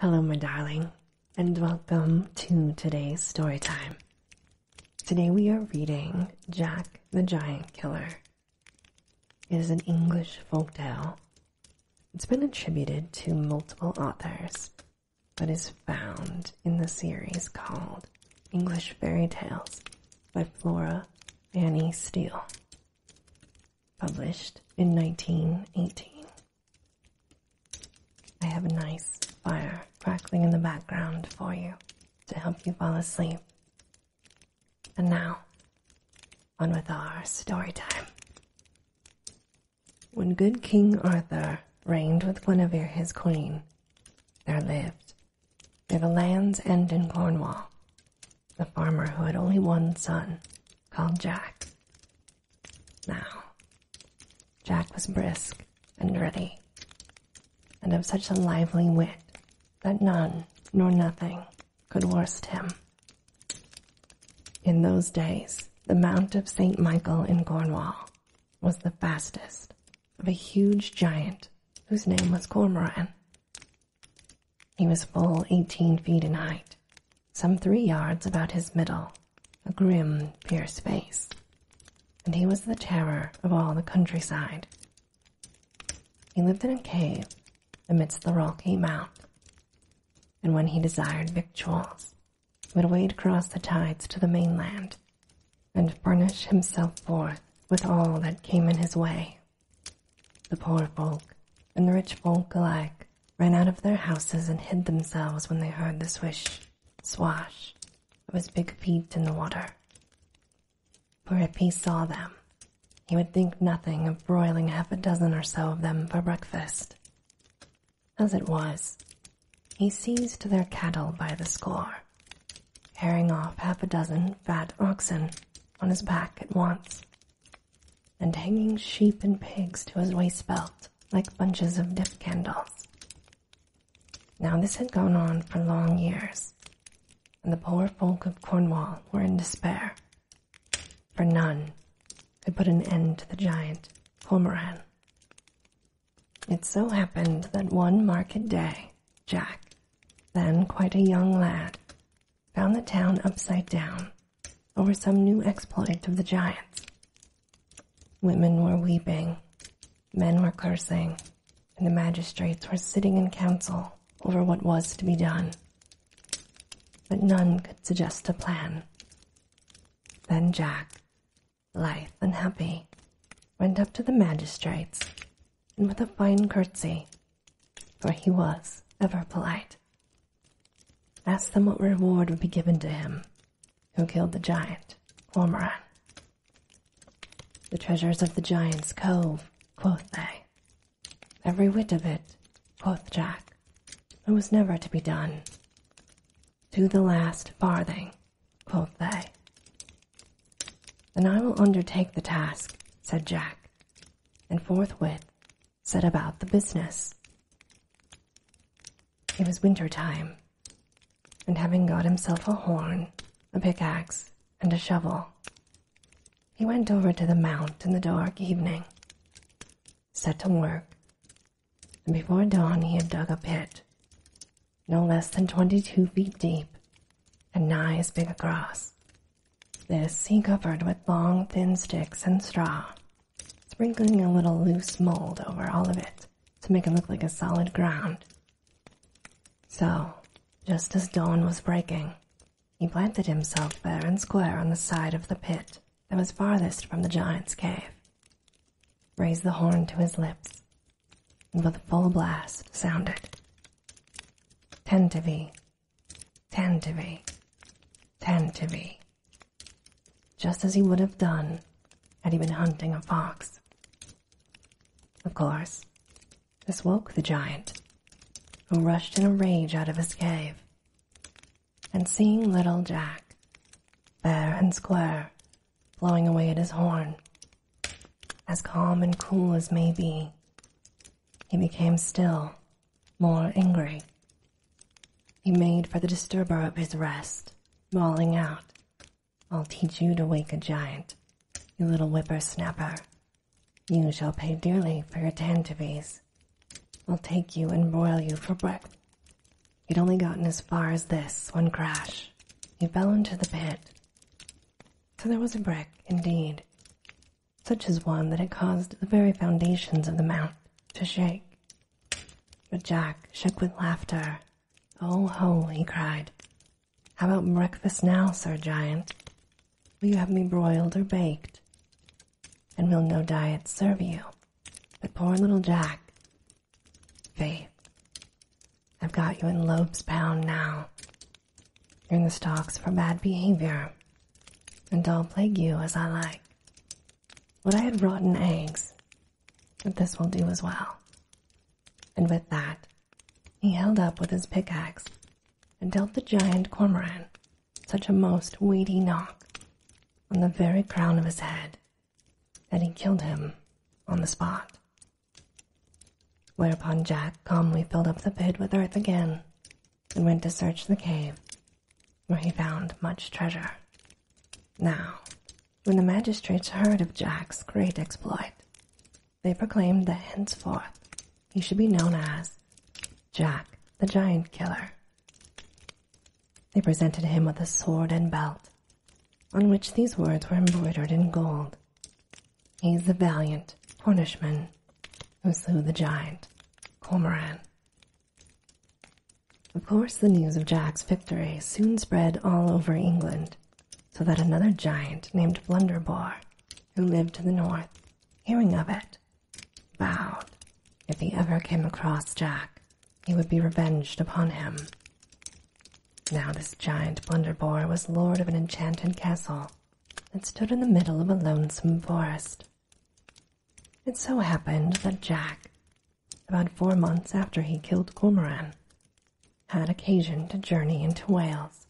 Hello, my darling, and welcome to today's story time. Today we are reading Jack the Giant Killer. It is an English folk tale. It's been attributed to multiple authors, but is found in the series called English Fairy Tales by Flora Annie Steele published in 1918. I have a nice fire crackling in the background for you to help you fall asleep. And now, on with our story time. When good King Arthur reigned with Guinevere his queen, there lived, near the land's end in Cornwall, the farmer who had only one son, called Jack. Now, Jack was brisk and ready, and of such a lively wit that none nor nothing could worst him. In those days, the Mount of St. Michael in Cornwall was the fastest of a huge giant whose name was Cormoran. He was full eighteen feet in height, some three yards about his middle, a grim, fierce face, and he was the terror of all the countryside. He lived in a cave amidst the rocky mount, and when he desired victuals, would wade across the tides to the mainland and furnish himself forth with all that came in his way. The poor folk and the rich folk alike ran out of their houses and hid themselves when they heard the swish, swash of his big feet in the water. For if he saw them, he would think nothing of broiling half a dozen or so of them for breakfast. As it was, he seized their cattle by the score, carrying off half a dozen fat oxen on his back at once, and hanging sheep and pigs to his waist belt like bunches of dip candles. Now, this had gone on for long years, and the poor folk of Cornwall were in despair, for none could put an end to the giant Cormoran. It so happened that one market day, Jack, then quite a young lad, found the town upside down or some new exploit of the giants. Women were weeping, men were cursing, and the magistrates were sitting in council over what was to be done. But none could suggest a plan. Then Jack, lithe and happy, went up to the magistrates and with a fine curtsy for he was ever polite. Ask them what reward would be given to him who killed the giant, Ormoran. The treasures of the giant's cove, quoth they. Every whit of it, quoth Jack. It was never to be done. To the last farthing, quoth they. Then I will undertake the task, said Jack, and forthwith set about the business. It was winter time, and having got himself a horn, a pickaxe, and a shovel, he went over to the mount in the dark evening, set to work, and before dawn he had dug a pit, no less than twenty two feet deep and nigh as big across, this he covered with long, thin sticks and straw, sprinkling a little loose mold over all of it to make it look like a solid ground. So, just as dawn was breaking, he planted himself fair and square on the side of the pit that was farthest from the giant's cave, raised the horn to his lips, and with a full blast sounded. Tentavi Tend to be. Tend to be. Just as he would have done had he been hunting a fox. Of course, this woke the giant, who rushed in a rage out of his cave. And seeing little Jack, fair and square, blowing away at his horn, as calm and cool as may be, he became still more angry. He made for the disturber of his rest, bawling out, I'll teach you to wake a giant, you little whippersnapper. You shall pay dearly for your tantivies. I'll take you and broil you for breakfast. He'd only gotten as far as this when crash. He fell into the pit. So there was a brick, indeed, such as one that had caused the very foundations of the mount to shake. But Jack shook with laughter. Oh ho, he cried. How about breakfast now, Sir Giant? Will you have me broiled or baked? And will no diet serve you? But poor little Jack. Faith, I've got you in Loeb's pound now. You're in the stocks for bad behavior, and I'll plague you as I like. Would I had rotten eggs, but this will do as well. And with that, he held up with his pickaxe and dealt the giant cormoran such a most weighty knock on the very crown of his head that he killed him on the spot. Whereupon Jack calmly filled up the pit with earth again and went to search the cave, where he found much treasure. Now, when the magistrates heard of Jack's great exploit, they proclaimed that henceforth he should be known as Jack the Giant Killer. They presented him with a sword and belt, on which these words were embroidered in gold. He's a valiant Cornishman who slew the giant, Cormoran. Of course, the news of Jack's victory soon spread all over England, so that another giant named Blunderbore, who lived to the north, hearing of it, vowed if he ever came across Jack, he would be revenged upon him. Now, this giant Blunderbore was lord of an enchanted castle that stood in the middle of a lonesome forest it so happened that Jack, about four months after he killed Cormoran, had occasion to journey into Wales,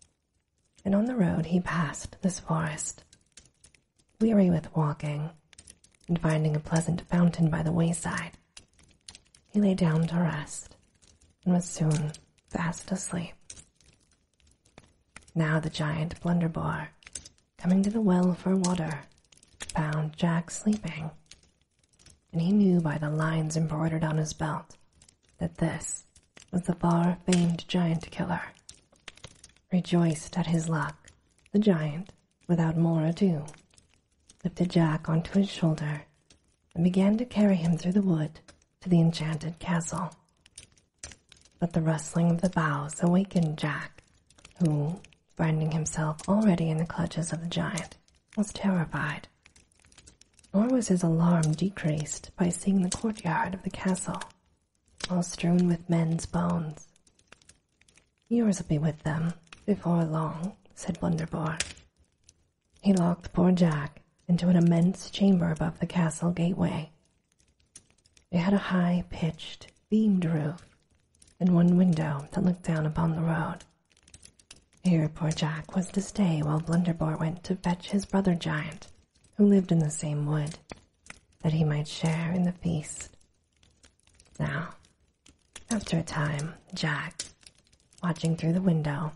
and on the road he passed this forest. Weary with walking, and finding a pleasant fountain by the wayside, he lay down to rest and was soon fast asleep. Now the giant blunderbore, coming to the well for water, found Jack sleeping, and he knew by the lines embroidered on his belt that this was the far-famed giant killer. Rejoiced at his luck, the giant, without more ado, lifted Jack onto his shoulder and began to carry him through the wood to the enchanted castle. But the rustling of the boughs awakened Jack, who, finding himself already in the clutches of the giant, was terrified. Nor was his alarm decreased by seeing the courtyard of the castle, all strewn with men's bones. Yours will be with them before long, said Blunderbore. He locked poor Jack into an immense chamber above the castle gateway, it had a high pitched, beamed roof and one window that looked down upon the road. Here poor Jack was to stay while Blunderbore went to fetch his brother Giant, who lived in the same wood, that he might share in the feast. Now, after a time, Jack, watching through the window,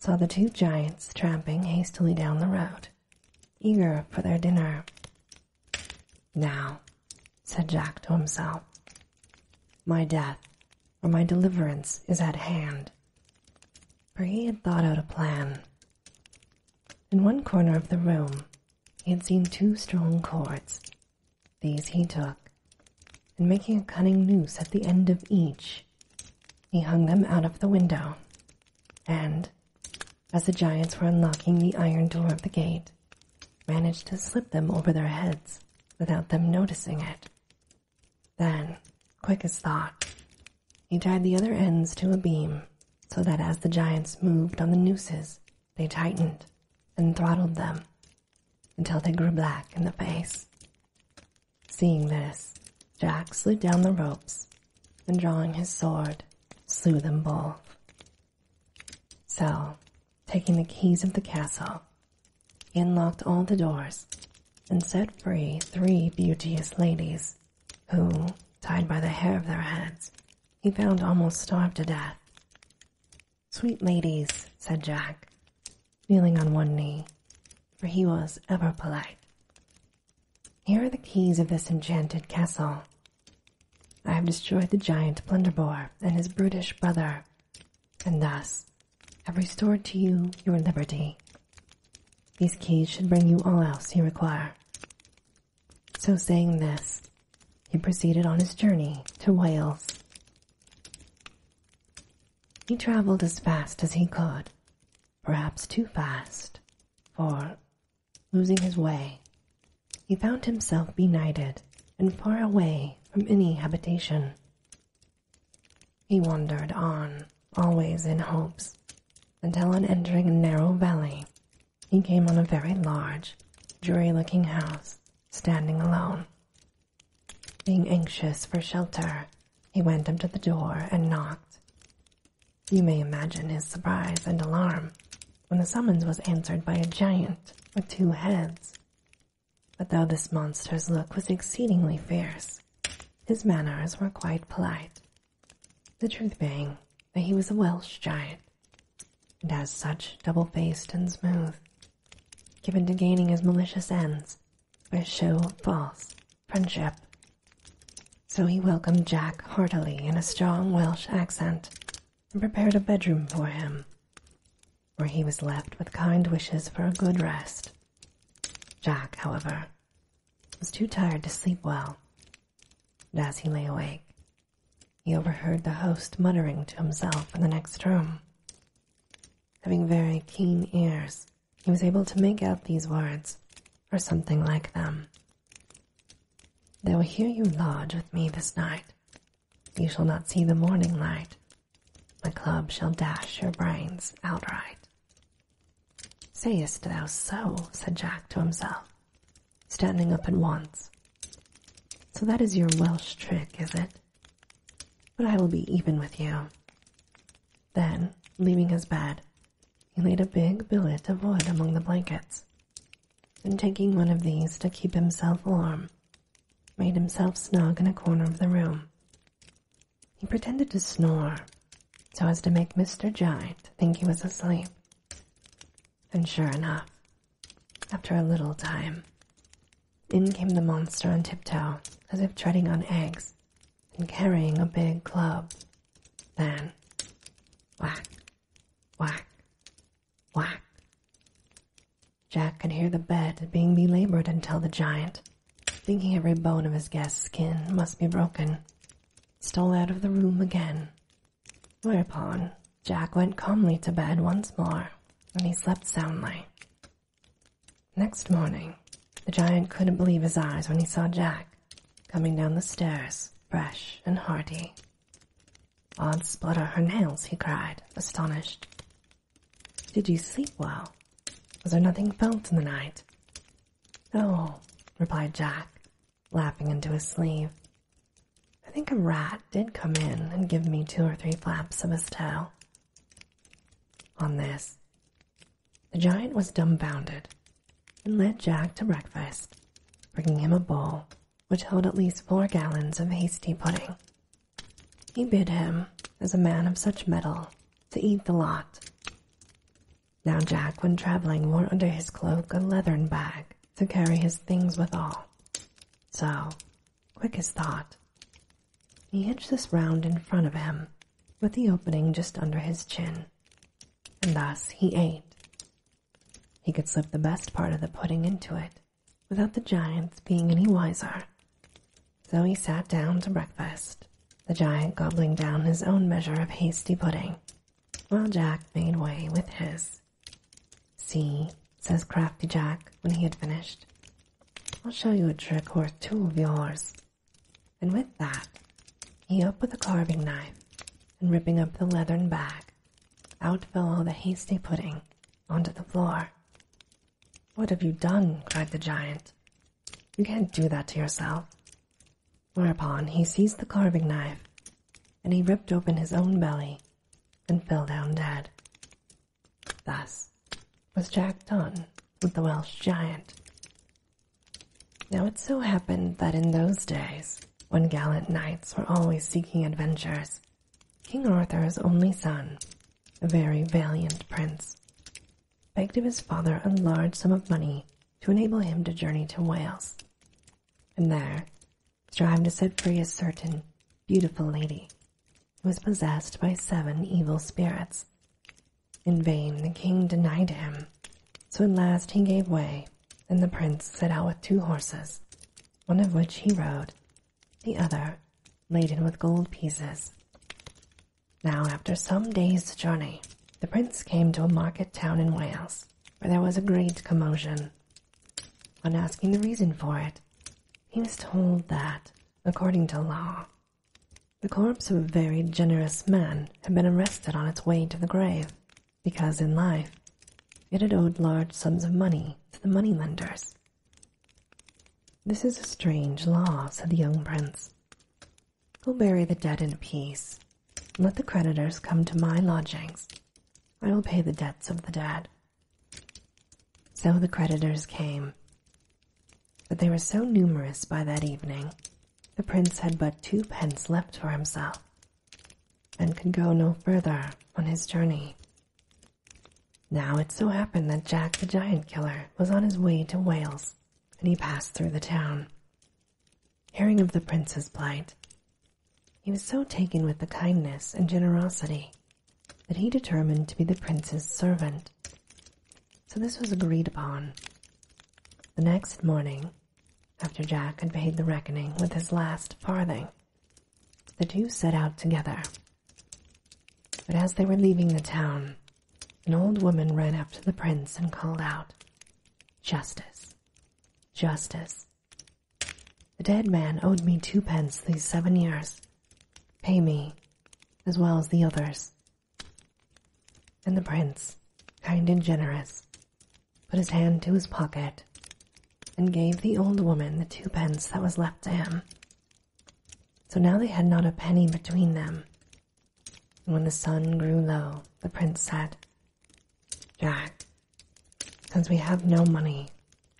saw the two giants tramping hastily down the road eager for their dinner. Now, said Jack to himself, my death or my deliverance is at hand. For he had thought out a plan. In one corner of the room, he had seen two strong cords. These he took, and making a cunning noose at the end of each, he hung them out of the window, and, as the giants were unlocking the iron door of the gate, managed to slip them over their heads without them noticing it. Then, quick as thought, he tied the other ends to a beam so that as the giants moved on the nooses, they tightened and throttled them until they grew black in the face. Seeing this, Jack slid down the ropes and, drawing his sword, slew them both. So, taking the keys of the castle, he unlocked all the doors and set free three beauteous ladies who, tied by the hair of their heads, he found almost starved to death. Sweet ladies, said Jack, kneeling on one knee, for he was ever polite, here are the keys of this enchanted castle. I have destroyed the giant Blunderbore and his brutish brother, and thus have restored to you your liberty. These keys should bring you all else you require. So saying this, he proceeded on his journey to Wales. He traveled as fast as he could, perhaps too fast, for losing his way, he found himself benighted and far away from any habitation. He wandered on, always in hopes, until on entering a narrow valley, he came on a very large, dreary looking house, standing alone. Being anxious for shelter, he went up to the door and knocked. You may imagine his surprise and alarm when the summons was answered by a giant with two heads. But though this monster's look was exceedingly fierce, his manners were quite polite, the truth being that he was a Welsh giant, and as such double-faced and smooth, given to gaining his malicious ends by show of false friendship. So he welcomed Jack heartily in a strong Welsh accent and prepared a bedroom for him, where he was left with kind wishes for a good rest. Jack, however, was too tired to sleep well, and as he lay awake, he overheard the host muttering to himself in the next room. Having very keen ears, he was able to make out these words, or something like them, they will hear you lodge with me this night. You shall not see the morning light. My club shall dash your brains outright. Sayest thou so? said Jack to himself, standing up at once. So that is your Welsh trick, is it? But I will be even with you. Then, leaving his bed, he laid a big billet of wood among the blankets, and taking one of these to keep himself warm, made himself snug in a corner of the room. He pretended to snore, so as to make Mr. Giant think he was asleep. And sure enough, after a little time, in came the monster on tiptoe, as if treading on eggs, and carrying a big club. Then, whack, whack, whack. Jack could hear the bed being belabored until the giant, thinking every bone of his guest's skin must be broken, stole out of the room again. Whereupon, Jack went calmly to bed once more, and he slept soundly. Next morning, the giant couldn't believe his eyes when he saw Jack coming down the stairs, fresh and hearty. Odd splutter her nails, he cried, astonished. Did you sleep well? Was there nothing felt in the night? No, replied Jack, laughing into his sleeve. I think a rat did come in and give me two or three flaps of his tail. On this, the giant was dumbfounded and led Jack to breakfast, bringing him a bowl which held at least four gallons of hasty pudding. He bid him, as a man of such mettle, to eat the lot. Now Jack, when traveling, wore under his cloak a leathern bag to carry his things withal. So, quick as thought, he hitched this round in front of him with the opening just under his chin, and thus he ate. He could slip the best part of the pudding into it without the giants being any wiser. So he sat down to breakfast, the giant gobbling down his own measure of hasty pudding, while Jack made way with his. See, says crafty Jack when he had finished, I'll show you a trick worth two of yours and with that he up with a carving knife, and ripping up the leathern bag, out fell all the hasty pudding onto the floor. What have you done? cried the giant. You can't do that to yourself. Whereupon he seized the carving knife, and he ripped open his own belly, and fell down dead. Thus was Jack done with the Welsh giant. Now it so happened that in those days, when gallant knights were always seeking adventures, King Arthur's only son, a very valiant prince, begged of his father a large sum of money to enable him to journey to Wales, and there strive to set free a certain beautiful lady who was possessed by seven evil spirits in vain the king denied him, so at last he gave way, and the prince set out with two horses, one of which he rode, the other laden with gold pieces. Now, after some days' journey, the prince came to a market town in Wales, where there was a great commotion. On asking the reason for it, he was told that, according to law, the corpse of a very generous man had been arrested on its way to the grave because in life it had owed large sums of money to the moneylenders. This is a strange law, said the young prince. Go bury the dead in peace. Let the creditors come to my lodgings. I will pay the debts of the dead. So the creditors came, but they were so numerous by that evening the prince had but two pence left for himself and could go no further on his journey. Now it so happened that Jack the Giant Killer was on his way to Wales and he passed through the town. Hearing of the prince's plight, he was so taken with the kindness and generosity that he determined to be the prince's servant so this was agreed upon. The next morning, after Jack had paid the reckoning with his last farthing, the two set out together. But as they were leaving the town, an old woman ran up to the prince and called out, Justice! Justice! The dead man owed me twopence these seven years. Pay me, as well as the others, and the prince, kind and generous, put his hand to his pocket and gave the old woman the two pence that was left to him. So now they had not a penny between them. And when the sun grew low, the prince said, Jack, since we have no money,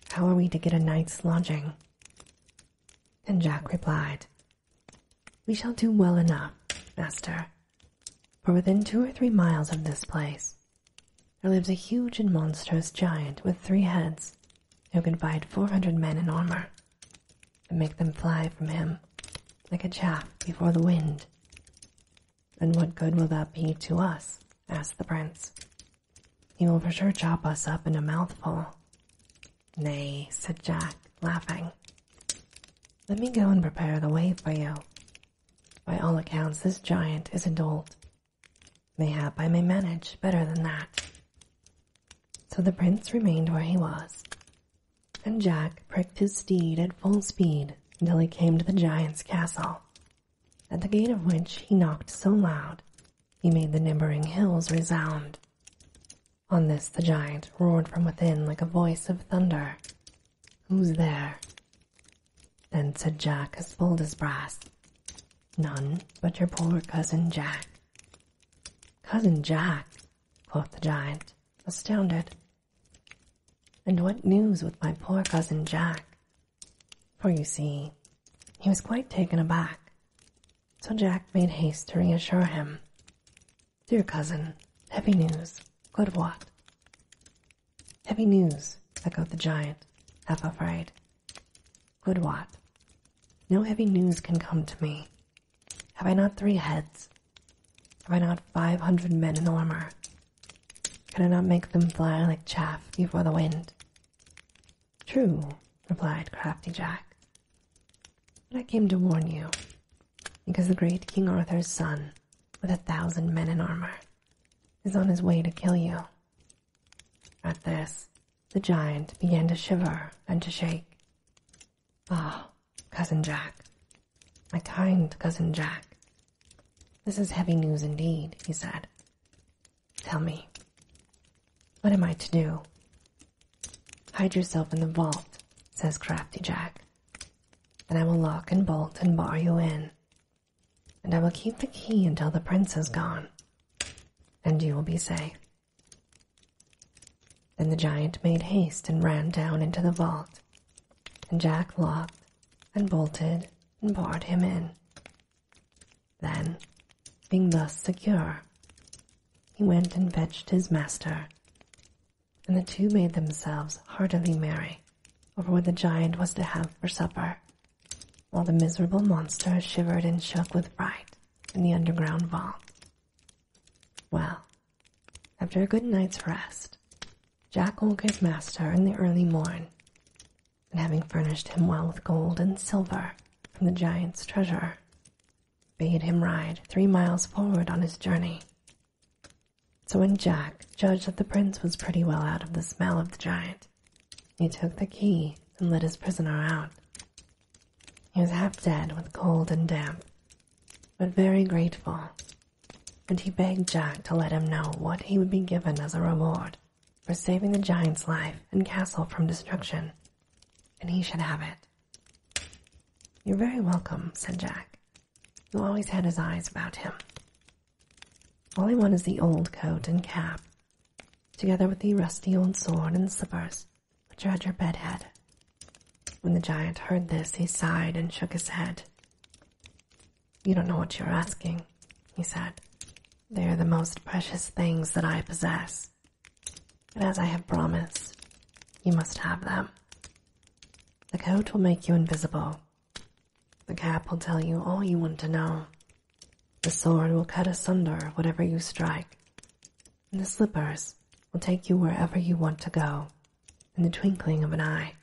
how are we to get a night's lodging? And Jack replied, we shall do well enough, master, for within two or three miles of this place there lives a huge and monstrous giant with three heads who can fight four hundred men in armor and make them fly from him like a chaff before the wind. And what good will that be to us? asked the prince. He will for sure chop us up in a mouthful. Nay, said Jack, laughing. Let me go and prepare the way for you. By all accounts, this giant is a dolt. Mayhap I may manage better than that. So the prince remained where he was, and Jack pricked his steed at full speed till he came to the giant's castle, at the gate of which he knocked so loud he made the neighboring hills resound. On this the giant roared from within like a voice of thunder. Who's there? Then said Jack as bold as brass, None but your poor cousin Jack. Cousin Jack, quoth the giant, astounded. And what news with my poor cousin Jack? For you see, he was quite taken aback. So Jack made haste to reassure him. Dear cousin, heavy news. Good what? Heavy news, echoed the giant, half afraid. Good what? No heavy news can come to me. Have I not three heads? Have I not five hundred men in armor? Can I not make them fly like chaff before the wind? True, replied crafty Jack, but I came to warn you, because the great King Arthur's son, with a thousand men in armor, is on his way to kill you. At this, the giant began to shiver and to shake. Ah, Cousin Jack, my kind Cousin Jack, this is heavy news indeed, he said. Tell me, what am I to do? Hide yourself in the vault, says Crafty Jack. Then I will lock and bolt and bar you in, and I will keep the key until the prince is gone, and you will be safe. Then the giant made haste and ran down into the vault, and Jack locked and bolted and barred him in. Then, being thus secure, he went and fetched his master, and the two made themselves heartily merry over what the giant was to have for supper, while the miserable monster shivered and shook with fright in the underground vault. Well, after a good night's rest, Jack woke his master in the early morn, and having furnished him well with gold and silver from the giant's treasure, bade him ride three miles forward on his journey. So when Jack judged that the prince was pretty well out of the smell of the giant, he took the key and let his prisoner out. He was half dead with cold and damp, but very grateful, and he begged Jack to let him know what he would be given as a reward for saving the giant's life and castle from destruction, and he should have it. You're very welcome, said Jack, "You always had his eyes about him. All I want is the old coat and cap, together with the rusty old sword and slippers which are at your bed head. When the giant heard this, he sighed and shook his head. You don't know what you're asking, he said. They are the most precious things that I possess. And as I have promised, you must have them. The coat will make you invisible. The cap will tell you all you want to know. The sword will cut asunder whatever you strike. And the slippers will take you wherever you want to go in the twinkling of an eye.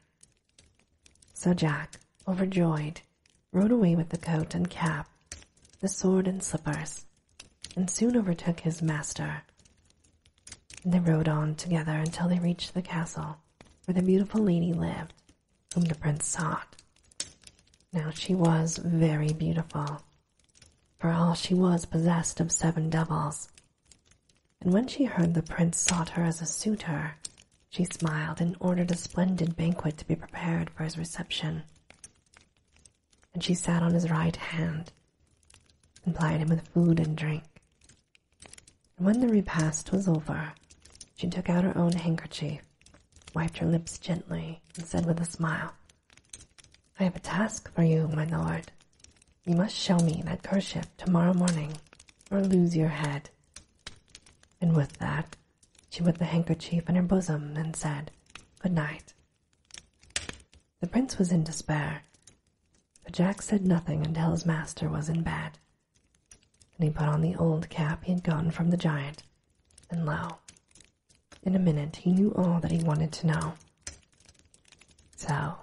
So Jack, overjoyed, rode away with the coat and cap, the sword and slippers, and soon overtook his master. They rode on together until they reached the castle where the beautiful lady lived, whom the prince sought. Now she was very beautiful, for all she was possessed of seven devils. And when she heard the prince sought her as a suitor, she smiled and ordered a splendid banquet to be prepared for his reception and she sat on his right hand and plied him with food and drink. And when the repast was over, she took out her own handkerchief, wiped her lips gently, and said with a smile, I have a task for you, my lord. You must show me that curse ship tomorrow morning, or lose your head. And with that, she put the handkerchief in her bosom and said, Good night. The prince was in despair, but Jack said nothing until his master was in bed, and he put on the old cap he had gotten from the giant, and lo, in a minute he knew all that he wanted to know. So,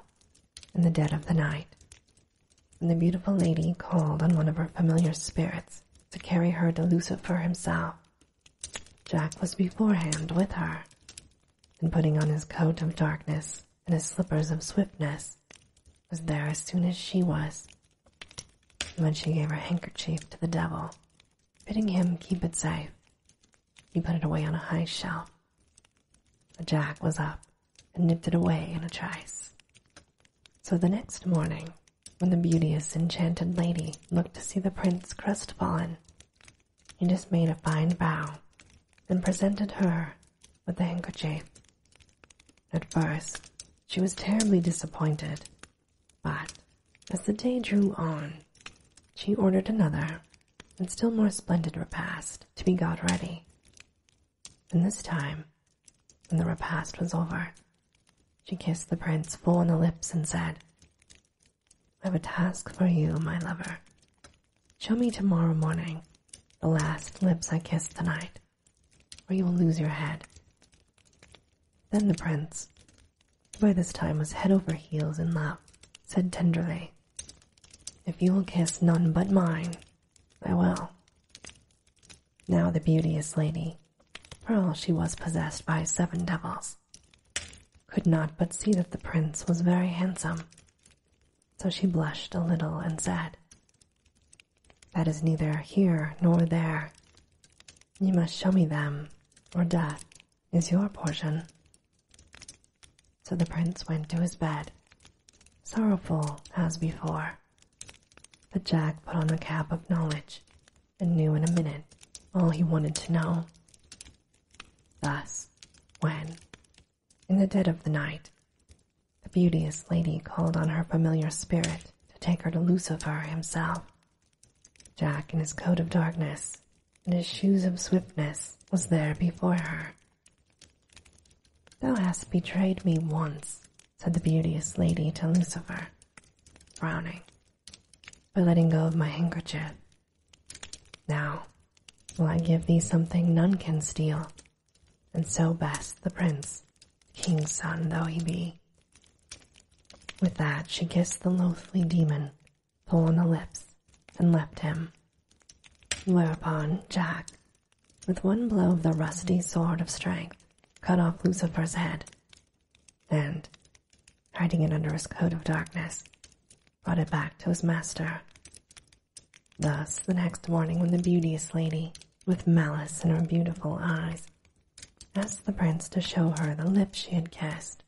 in the dead of the night, when the beautiful lady called on one of her familiar spirits to carry her to Lucifer himself, Jack was beforehand with her, and putting on his coat of darkness and his slippers of swiftness, was there as soon as she was. when she gave her handkerchief to the devil, bidding him keep it safe, he put it away on a high shelf. The jack was up and nipped it away in a trice. So the next morning, when the beauteous enchanted lady looked to see the prince crestfallen, he just made a fine bow and presented her with the handkerchief. At first, she was terribly disappointed, but as the day drew on, she ordered another and still more splendid repast to be got ready. And this time, when the repast was over, she kissed the prince full on the lips and said, I have a task for you, my lover. Show me tomorrow morning the last lips I kissed tonight, or you will lose your head. Then the prince, who by this time was head over heels in love, said tenderly, If you will kiss none but mine, I will. Now the beauteous lady, for all she was possessed by seven devils, could not but see that the prince was very handsome. So she blushed a little and said, That is neither here nor there. You must show me them, or death is your portion. So the prince went to his bed, sorrowful as before. But Jack put on the cap of knowledge and knew in a minute all he wanted to know. Thus, when, in the dead of the night, the beauteous lady called on her familiar spirit to take her to Lucifer himself, Jack in his coat of darkness and his shoes of swiftness was there before her. Thou hast betrayed me once, said the beauteous lady to Lucifer, frowning, by letting go of my handkerchief now will I give thee something none can steal, and so best the prince, king's son though he be. With that she kissed the loathly demon full on the lips and left him. Whereupon Jack, with one blow of the rusty sword of strength, cut off Lucifer's head, and hiding it under his coat of darkness, brought it back to his master. Thus, the next morning, when the beauteous lady, with malice in her beautiful eyes, asked the prince to show her the lips she had kissed,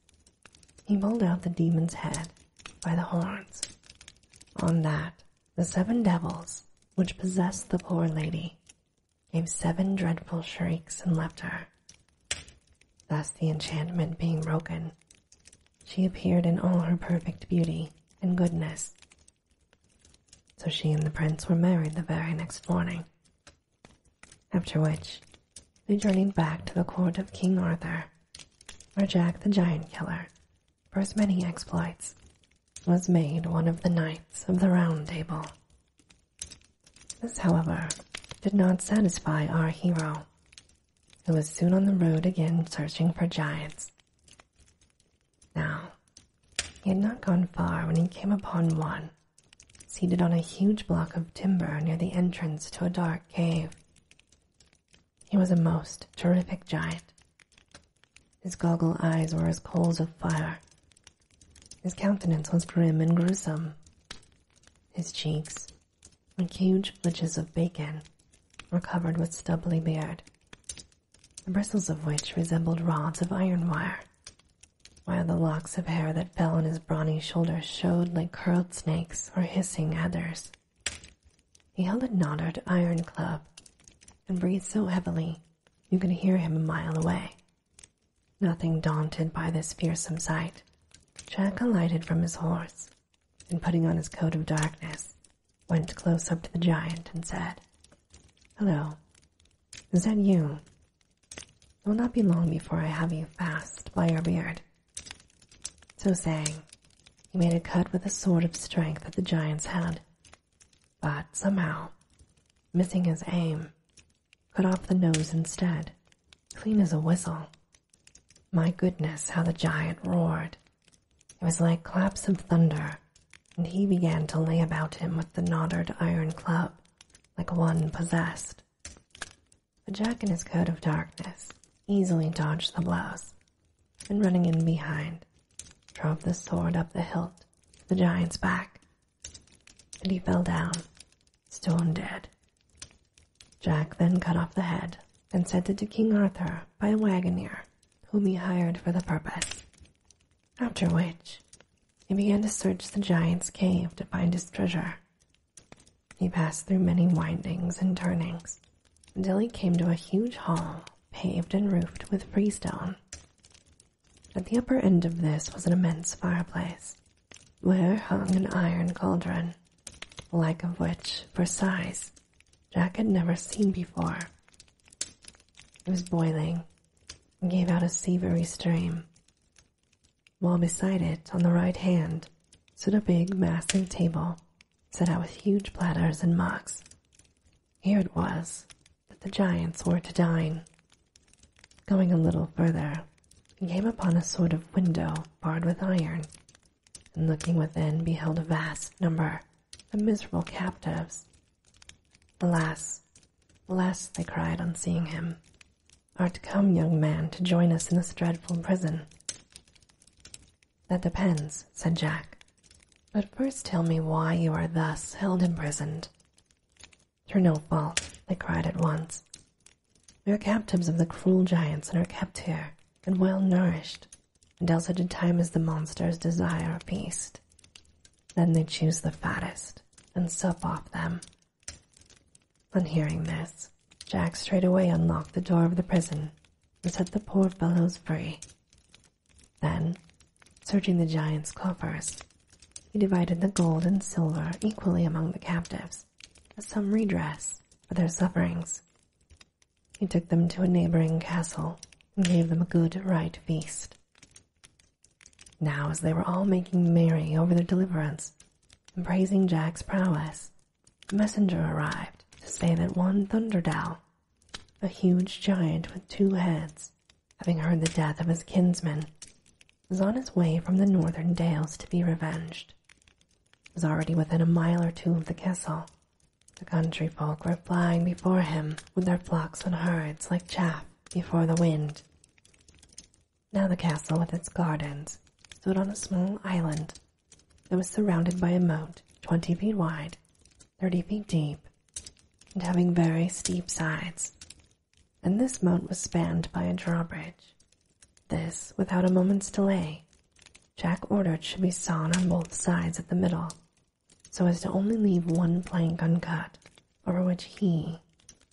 he pulled out the demon's head by the horns. On that, the seven devils, which possessed the poor lady, gave seven dreadful shrieks and left her. Thus, the enchantment being broken, she appeared in all her perfect beauty and goodness. So she and the prince were married the very next morning, after which they journeyed back to the court of King Arthur, where Jack the Giant Killer, for his many exploits, was made one of the knights of the Round Table. This, however, did not satisfy our hero, he was soon on the road again searching for giants. Now, he had not gone far when he came upon one, seated on a huge block of timber near the entrance to a dark cave. He was a most terrific giant. His goggle eyes were as coals of fire. His countenance was grim and gruesome. His cheeks, like huge flitches of bacon, were covered with stubbly beard, the bristles of which resembled rods of iron wire, while the locks of hair that fell on his brawny shoulders showed like curled snakes or hissing adders. He held a knotted iron club and breathed so heavily you could hear him a mile away. Nothing daunted by this fearsome sight, Jack alighted from his horse and putting on his coat of darkness, went close up to the giant and said, Hello, is that you? It will not be long before I have you fast by your beard. So saying, he made a cut with a sword of strength at the giant's head, but somehow, missing his aim, cut off the nose instead, clean as a whistle, my goodness, how the giant roared! It was like claps of thunder, and he began to lay about him with the knotted iron club, like one possessed. But Jack in his coat of darkness easily dodged the blows, and running in behind, drove the sword up the hilt to the giant's back. And he fell down, stone dead. Jack then cut off the head and sent it to King Arthur by a waggoner, whom he hired for the purpose. After which, he began to search the giant's cave to find his treasure. He passed through many windings and turnings till he came to a huge hall paved and roofed with freestone. At the upper end of this was an immense fireplace where hung an iron cauldron, like of which, for size, Jack had never seen before. It was boiling and gave out a sev'ry stream, while beside it, on the right hand, stood a big, massive table set out with huge platters and mugs. Here it was that the giants were to dine. Going a little further, he came upon a sort of window barred with iron, and looking within beheld a vast number of miserable captives. Alas, alas, they cried on seeing him, art come, young man, to join us in this dreadful prison? That depends, said Jack. But first tell me why you are thus held imprisoned. Through no fault, they cried at once, we are captives of the cruel giants and are kept here, and well nourished, until such a time as the monsters desire a feast. Then they choose the fattest and sup off them. On hearing this, Jack straightway unlocked the door of the prison and set the poor fellows free. Then, searching the giant's coffers, he divided the gold and silver equally among the captives. As some redress for their sufferings. He took them to a neighboring castle and gave them a good right feast. Now, as they were all making merry over their deliverance and praising Jack's prowess, a messenger arrived to say that one Thunderdow, a huge giant with two heads, having heard the death of his kinsman, was on his way from the northern dales to be revenged. It was already within a mile or two of the castle. The country folk were flying before him with their flocks and herds like chaff before the wind. Now the castle with its gardens stood on a small island that was surrounded by a moat twenty feet wide, thirty feet deep, and having very steep sides. And this moat was spanned by a drawbridge this, without a moment's delay, Jack ordered should be sawn on both sides at the middle, so as to only leave one plank uncut, over which he,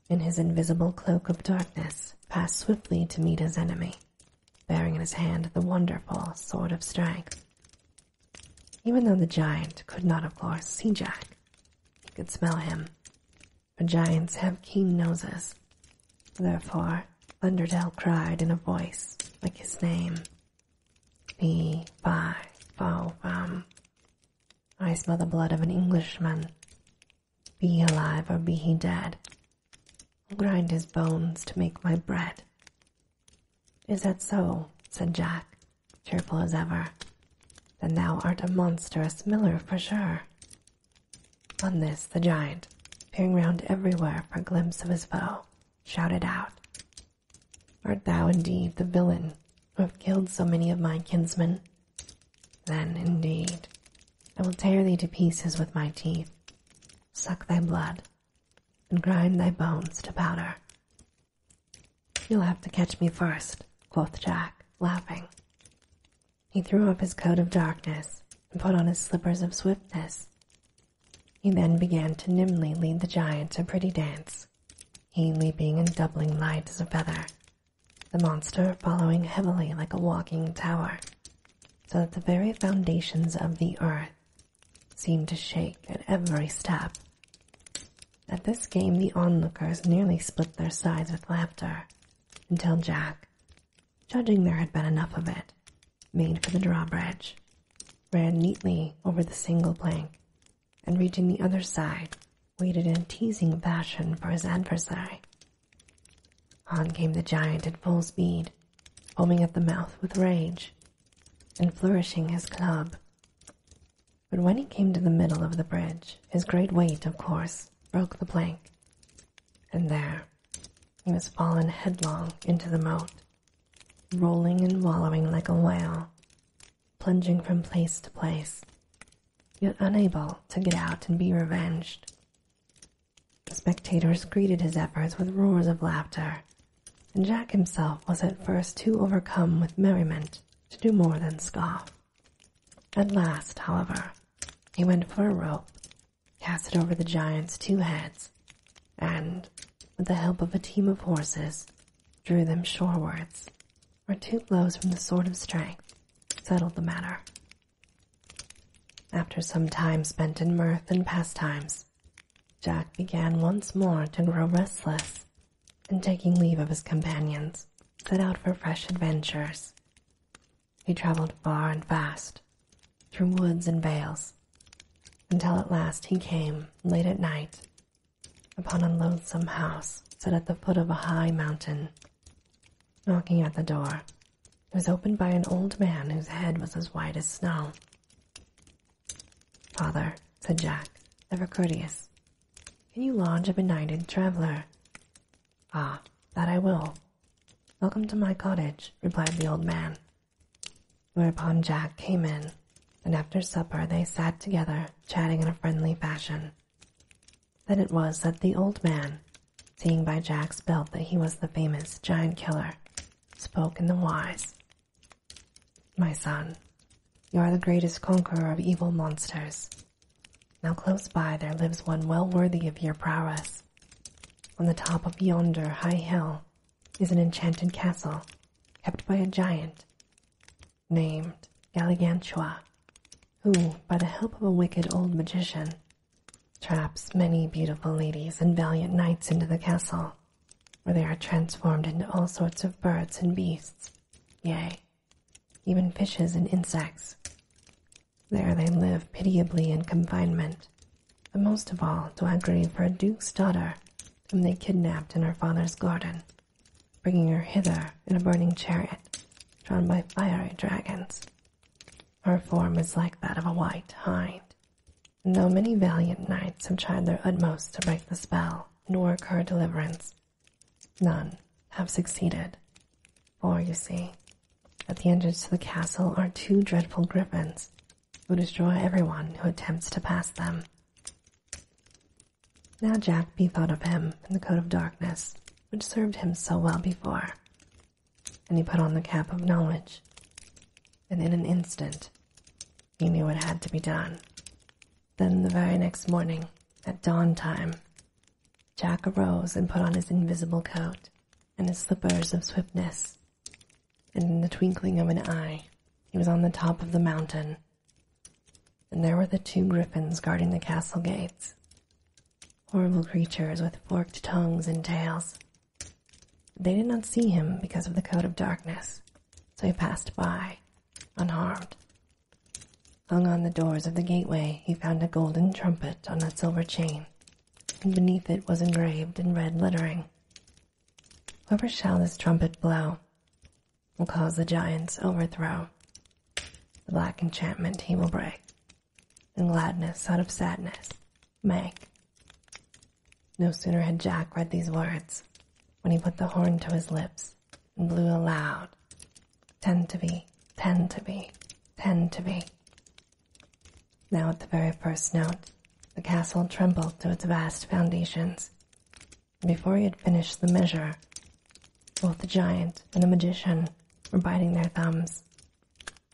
in his invisible cloak of darkness, passed swiftly to meet his enemy, bearing in his hand the wonderful Sword of Strength. Even though the giant could not, of course, see Jack, he could smell him, for giants have keen noses. Therefore, Thunderdell cried in a voice like his name. Be fi, fo, fum. I smell the blood of an Englishman. Be alive or be he dead. I'll grind his bones to make my bread. Is that so? said Jack, cheerful as ever. Then thou art a monstrous miller for sure. On this, the giant, peering round everywhere for a glimpse of his foe, shouted out, Art thou indeed the villain who have killed so many of my kinsmen? Then, indeed, I will tear thee to pieces with my teeth, suck thy blood, and grind thy bones to powder. You'll have to catch me first," quoth Jack, laughing. He threw off his coat of darkness and put on his slippers of swiftness. He then began to nimbly lead the giant a pretty dance, he leaping and doubling light as a feather, the monster following heavily like a walking tower, so that the very foundations of the earth seemed to shake at every step. At this game, the onlookers nearly split their sides with laughter, until Jack, judging there had been enough of it, made for the drawbridge, ran neatly over the single plank, and reaching the other side, waited in teasing fashion for his adversary. On came the giant at full speed, foaming at the mouth with rage, and flourishing his club. But when he came to the middle of the bridge, his great weight, of course, broke the plank, and there he has fallen headlong into the moat, rolling and wallowing like a whale, plunging from place to place, yet unable to get out and be revenged. The spectators greeted his efforts with roars of laughter, and Jack himself was at first too overcome with merriment to do more than scoff. At last, however, he went for a rope cast it over the giant's two heads, and, with the help of a team of horses, drew them shorewards, where two blows from the Sword of Strength settled the matter. After some time spent in mirth and pastimes, Jack began once more to grow restless, and taking leave of his companions, set out for fresh adventures he travelled far and fast, through woods and vales, until at last he came, late at night, upon a loathsome house set at the foot of a high mountain. Knocking at the door, it was opened by an old man whose head was as white as snow. Father, said Jack, ever courteous, can you lodge a benighted traveller?" Ah, that I will, Welcome to my cottage, replied the old man. Whereupon Jack came in, and after supper they sat together, chatting in a friendly fashion. Then it was that the old man, seeing by Jack's belt that he was the famous giant killer, spoke in the wise. My son, you are the greatest conqueror of evil monsters. Now close by there lives one well worthy of your prowess. On the top of yonder high hill is an enchanted castle kept by a giant named Galligantua, who, by the help of a wicked old magician, traps many beautiful ladies and valiant knights into the castle, where they are transformed into all sorts of birds and beasts, yea, even fishes and insects, there they live pitiably in confinement, but most of all do I grieve for a duke's daughter whom they kidnapped in her father's garden, bringing her hither in a burning chariot drawn by fiery dragons. Her form is like that of a white hind, and though many valiant knights have tried their utmost to break the spell and work her deliverance, none have succeeded. For, oh, you see, at the entrance to the castle are two dreadful griffins who destroy everyone who attempts to pass them. Now Jack thought of him in the coat of darkness, which served him so well before, and he put on the cap of knowledge, and in an instant he knew what had to be done. Then the very next morning, at dawn time, Jack arose and put on his invisible coat and his slippers of swiftness, and in the twinkling of an eye, he was on the top of the mountain. And there were the two griffins guarding the castle gates horrible creatures with forked tongues and tails. They did not see him because of the coat of darkness, so he passed by, unharmed. Hung on the doors of the gateway, he found a golden trumpet on a silver chain, and beneath it was engraved in red lettering Whoever shall this trumpet blow will cause the giant's overthrow. The black enchantment he will break, and gladness out of sadness make. No sooner had Jack read these words when he put the horn to his lips and blew aloud tend to be, tend to be, tend to be. Now, at the very first note, the castle trembled to its vast foundations. And Before he had finished the measure, both the giant and the magician were biting their thumbs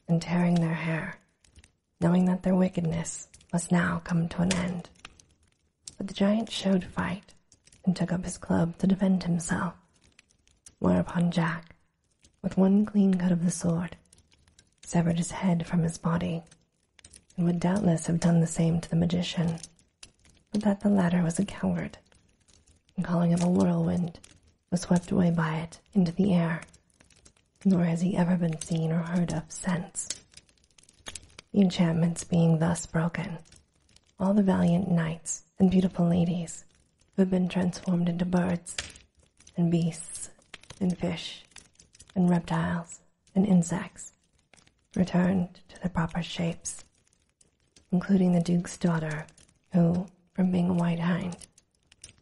and tearing their hair, knowing that their wickedness must now come to an end. But the giant showed fight and took up his club to defend himself, whereupon Jack with one clean cut of the sword, severed his head from his body, and would doubtless have done the same to the magician, but that the latter was a coward, and calling him a whirlwind, was swept away by it into the air, nor has he ever been seen or heard of since. The enchantments being thus broken, all the valiant knights and beautiful ladies have been transformed into birds and beasts and fish and reptiles and insects returned to their proper shapes, including the Duke's daughter, who, from being a white hind,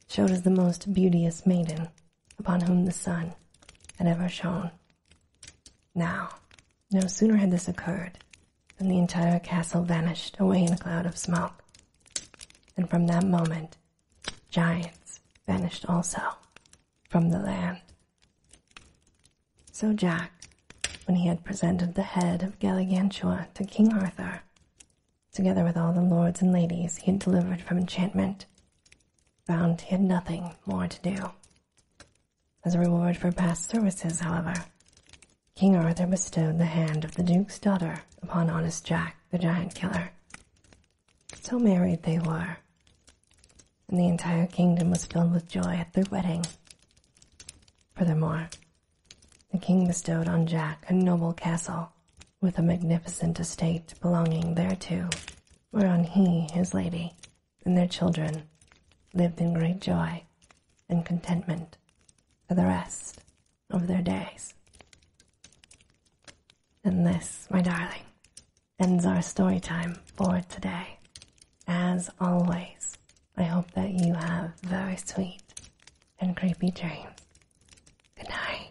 showed as the most beauteous maiden upon whom the sun had ever shone. Now, no sooner had this occurred and the entire castle vanished away in a cloud of smoke. And from that moment, giants vanished also from the land. So Jack, when he had presented the head of Galligantua to King Arthur, together with all the lords and ladies he had delivered from enchantment, found he had nothing more to do. As a reward for past services, however, King Arthur bestowed the hand of the duke's daughter upon honest Jack, the giant killer. So married they were, and the entire kingdom was filled with joy at their wedding. Furthermore, the king bestowed on Jack a noble castle with a magnificent estate belonging thereto, whereon he, his lady, and their children lived in great joy and contentment for the rest of their days. And this, my darling, ends our story time for today. As always, I hope that you have very sweet and creepy dreams. Good night.